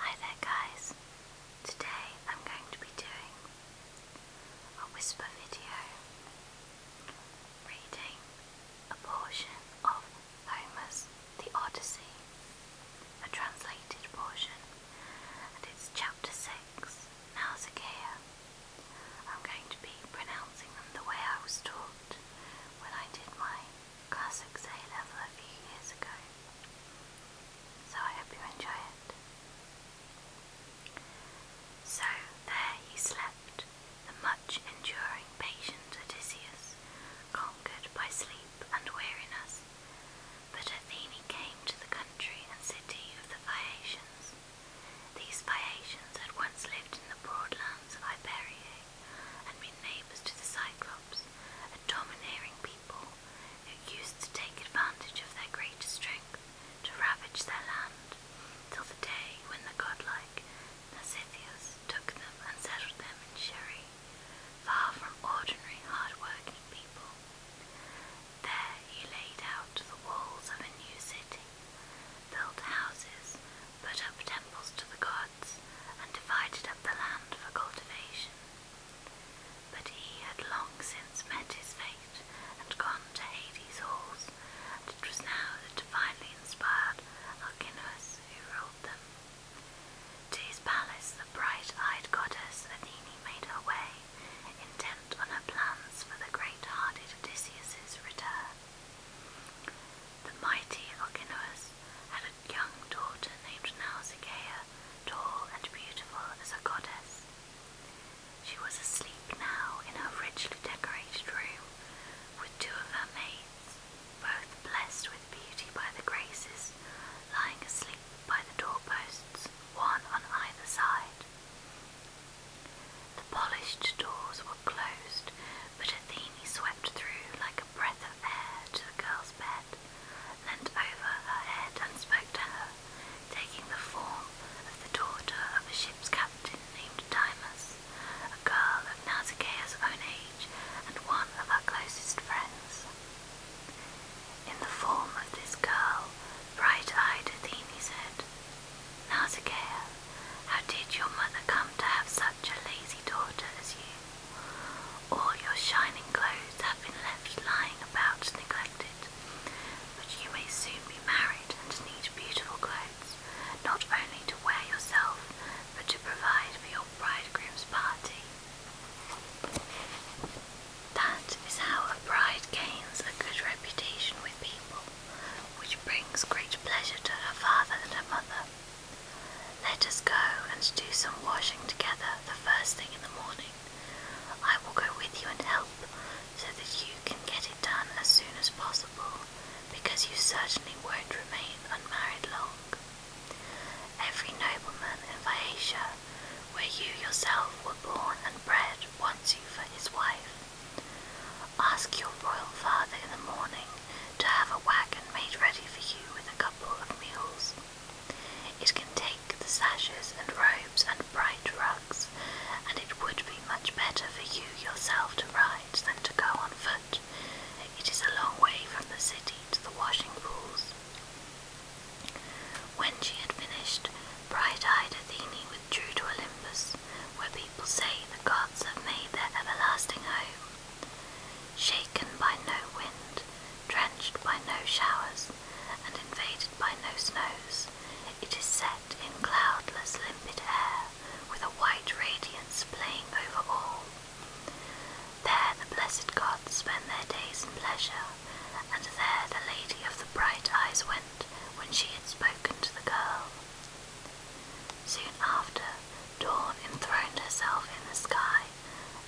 Hi there guys, today I'm going to be doing a whisper video reading a portion of Homer's The Odyssey, a translated portion, and it's chapter 6, Nausicaa. I'm going to be pronouncing them the way I was taught when I did my Classics A level a few years ago, so I hope you enjoy it. So there he slept, the much enduring patient Odysseus, conquered by sleep and weariness. But Athene came to the country and city of the Phaeacians. These Phaeacians had once lived in the broad lands of Iberia, and were neighbours to the Cyclops, a domineering people who used to take advantage of their greater strength to ravage their land, till the day when the godlike Nausithias took them and settled them in Sheri, far from ordinary hard-working people. There he laid out the walls of a new city, built houses, put up temples to the gods, and divided up the land for cultivation. But he had long since met his fate and gone to Hades' halls, and it was now the divinely inspired Alcinous who ruled them. To his palace the bright-eyed goddess Athene made her way, intent on her plans for the great-hearted Odysseus' return. The mighty Alcinous had a young daughter named Nausicaa, tall and beautiful as a goddess. She was asleep now in her richly decorated room with two of her maids, both blessed with beauty by the Graces, lying asleep by the doorposts, one on either side. The polished doors were closed but Athene swept through like a breath of air to the girl's bed, leant over her head and spoke to her, taking the form of the daughter of a ship's captain named Dimas, a girl of Nausicaa's own age and one of her closest friends. In the form of this girl, bright-eyed Athene said, Nausicaa. How did your mother come to have such a lazy daughter as you? All your shining clothes have been left lying about neglected, but you may soon be married and need beautiful clothes, not only to wear yourself, but to provide for your bridegroom's party. That is how a bride gains a good reputation with people which brings great pleasure to her father and her mother. Let us go and do some washing together the first thing in the morning. I will go with you and help, so that you can get it done as soon as possible, because you certainly won't remain unmarried long. Every nobleman in Phaeacia, where you yourself were born and bred, wants you for his wife. Ask your royal father in the morning to have a wagon made ready for you with a couple of meals. It can take the sashes and robes and bright rugs, and it would be much better for you yourself to ride than to go on foot. It is a long way from the city to the washing pools. When she had finished, bright eyed Athena withdrew to Olympus where people say the gods have made their everlasting home. Shaken by no wind, drenched by no showers, and invaded by no snows, it is set in cloudless, limpid air, with a white radiance playing over all. There the blessed gods spend their days in pleasure, and there the lady of the bright eyes went when she had spoken to the girl. Soon after, Dawn enthroned herself in the sky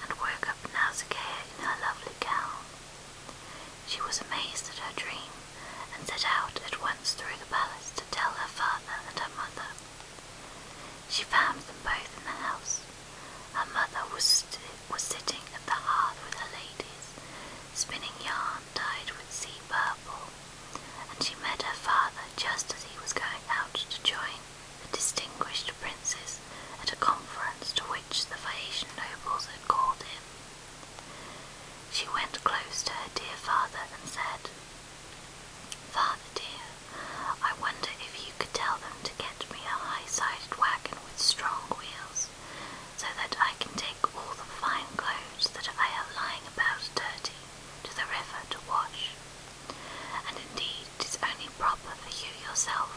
and woke up Nausicaa in her lovely gown. She was amazed at her dream and set out at once through the palace to tell her father and her mother. She found them both in the house. Her mother was, was sitting at the hearth with her ladies, spinning yarn dyed with sea purple and she met her father just as he was going out to join the distinguished princes at a conference to which the Phaeacian nobles had called him. She went close to her dear father and said, Father dear, I wonder if you could tell them to get me a high-sided wagon with strong wheels, so that I can take all the fine clothes that I have lying about dirty to the river to wash. And indeed, it is only proper for you yourself,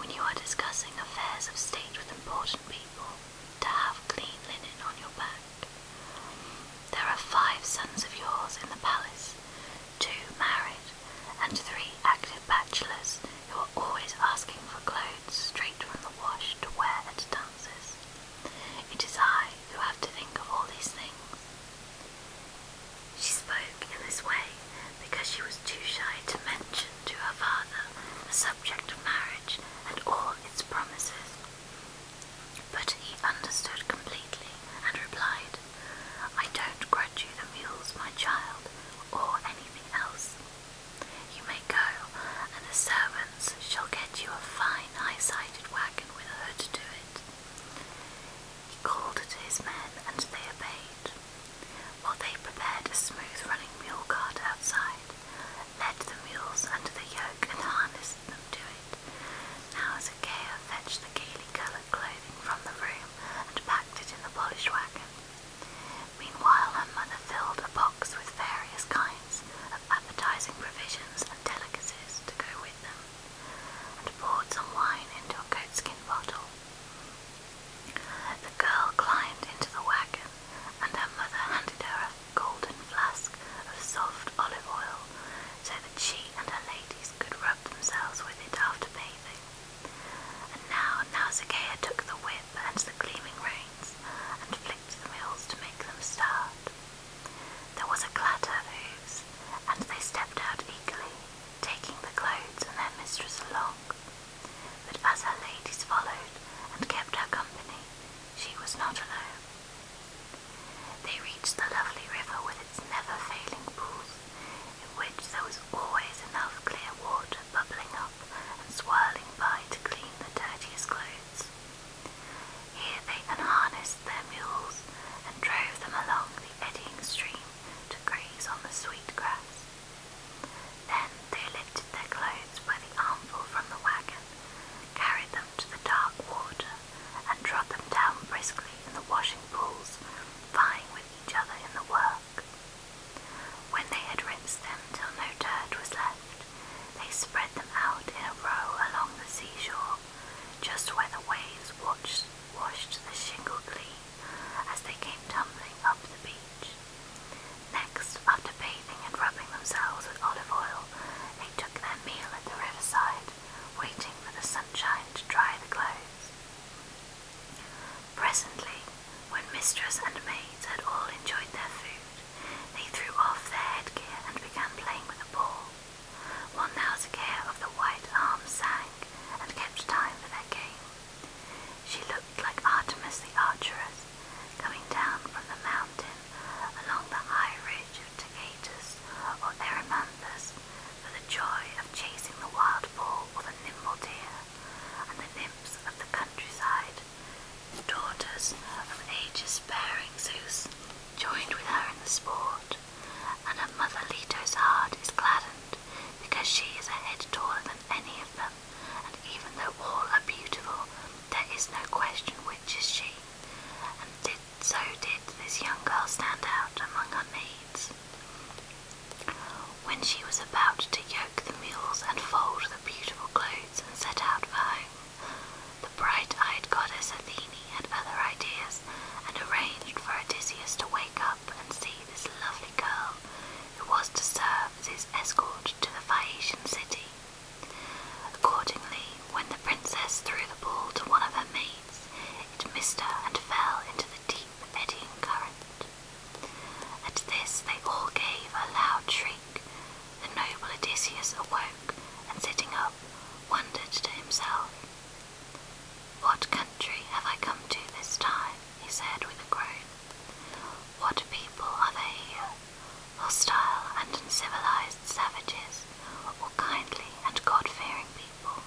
when you are discussing affairs of state with important people, to have clean linen on your back. There are five sons of yours in the palace, two married, and three active bachelors who are always asking for clothes straight from the wash to wear at a time. It is I who have to think of all these things. She spoke in this way because she was too shy to mention to her father the subject of marriage and all its promises. But he understood completely and replied, I don't grudge you the mules, my child, or anything else. You may go, and the servants shall get you a fine high-sided wagon with a hood to it. He called to his men, and they obeyed. While they prepared a smooth-running mule cart outside, led the mules under the yoke and harnessed them to it. Now as a Achaia fetched the gaily coloured clothing from the room and packed it in the polished wagon, Meanwhile, her mother filled a box with various kinds of appetizing provisions and delicacies to go with them, and poured some wine into a goatskin bottle. The girl climbed into the wagon, and her mother handed her a golden flask of soft olive oil so that she and her ladies could rub themselves with it after bathing. And now Nausicaa took the whip and the gleaming rein and flicked the mills to make them start. There was a clatter of hoofs, and they stepped out eagerly, taking the clothes and their mistress along. But as her ladies followed and kept her company, she was not alone. They reached the lovely river with its never failing pools, in which there was always enough clear water bubbling up and swirling by to clean the dirtiest clothes. Here they unharnessed their mules and drove them along the eddying stream to graze on the sweet grass. Then they lifted their clothes by the armful from the wagon, carried them to the dark water, and trod them down briskly in the washing pools, vying with each other in the whirl when they had rinsed them till no dirt was left, they spread them out in a row along the seashore, just where the waves watched, washed the shingle clean as they came tumbling up the beach. Next, after bathing and rubbing themselves with olive oil, they took their meal at the riverside, waiting for the sunshine to dry the clothes. Presently, when mistress and maids had all enjoyed their food, they threw off their headgear and began playing with a ball. One Nausicaa of the white arm sang and kept time for their game. She looked like Artemis the archeress, coming down from the mountain along the high ridge of Tegatus or Erymanthus for the joy of chasing the wild boar or the nimble deer and the nymphs of the countryside, the daughters of aegis-bearing Zeus, joined with her in the sport, and her mother Leto's heart is gladdened because she is a head taller than any of them, and even though all are beautiful, there is no question which is she, and so did this young girl stand out among her maids. When she was about to yoke the mules and fold the beautiful clothes and set out for home, the bright eyed goddess Athene had other ideas and arranged for Odysseus to wake up and see this lovely girl who was to serve as his escort to the Phaeacian city. Accordingly, when the princess threw the ball to one of her maids, it missed her and fell into the deep eddying current. At this they all gave a loud shriek. The noble Odysseus awoke, and sitting up, wondered to himself. What country have I come to this time? he said with a groan. What people are they here? Hostile and uncivilized savages, or kindly and God fearing people?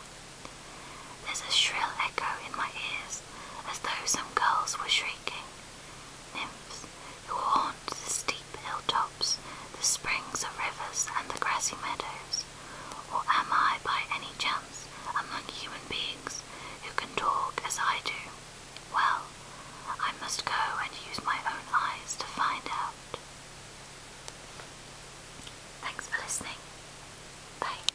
There's a shrill echo in my ears as though some girls were shrieking. Nymphs who haunt the steep hilltops, the springs of rivers, and the grassy meadows. Or am I by any chance among human beings who can talk as I do? Well, I must go and use my own eyes to find out. Thanks for listening. Bye.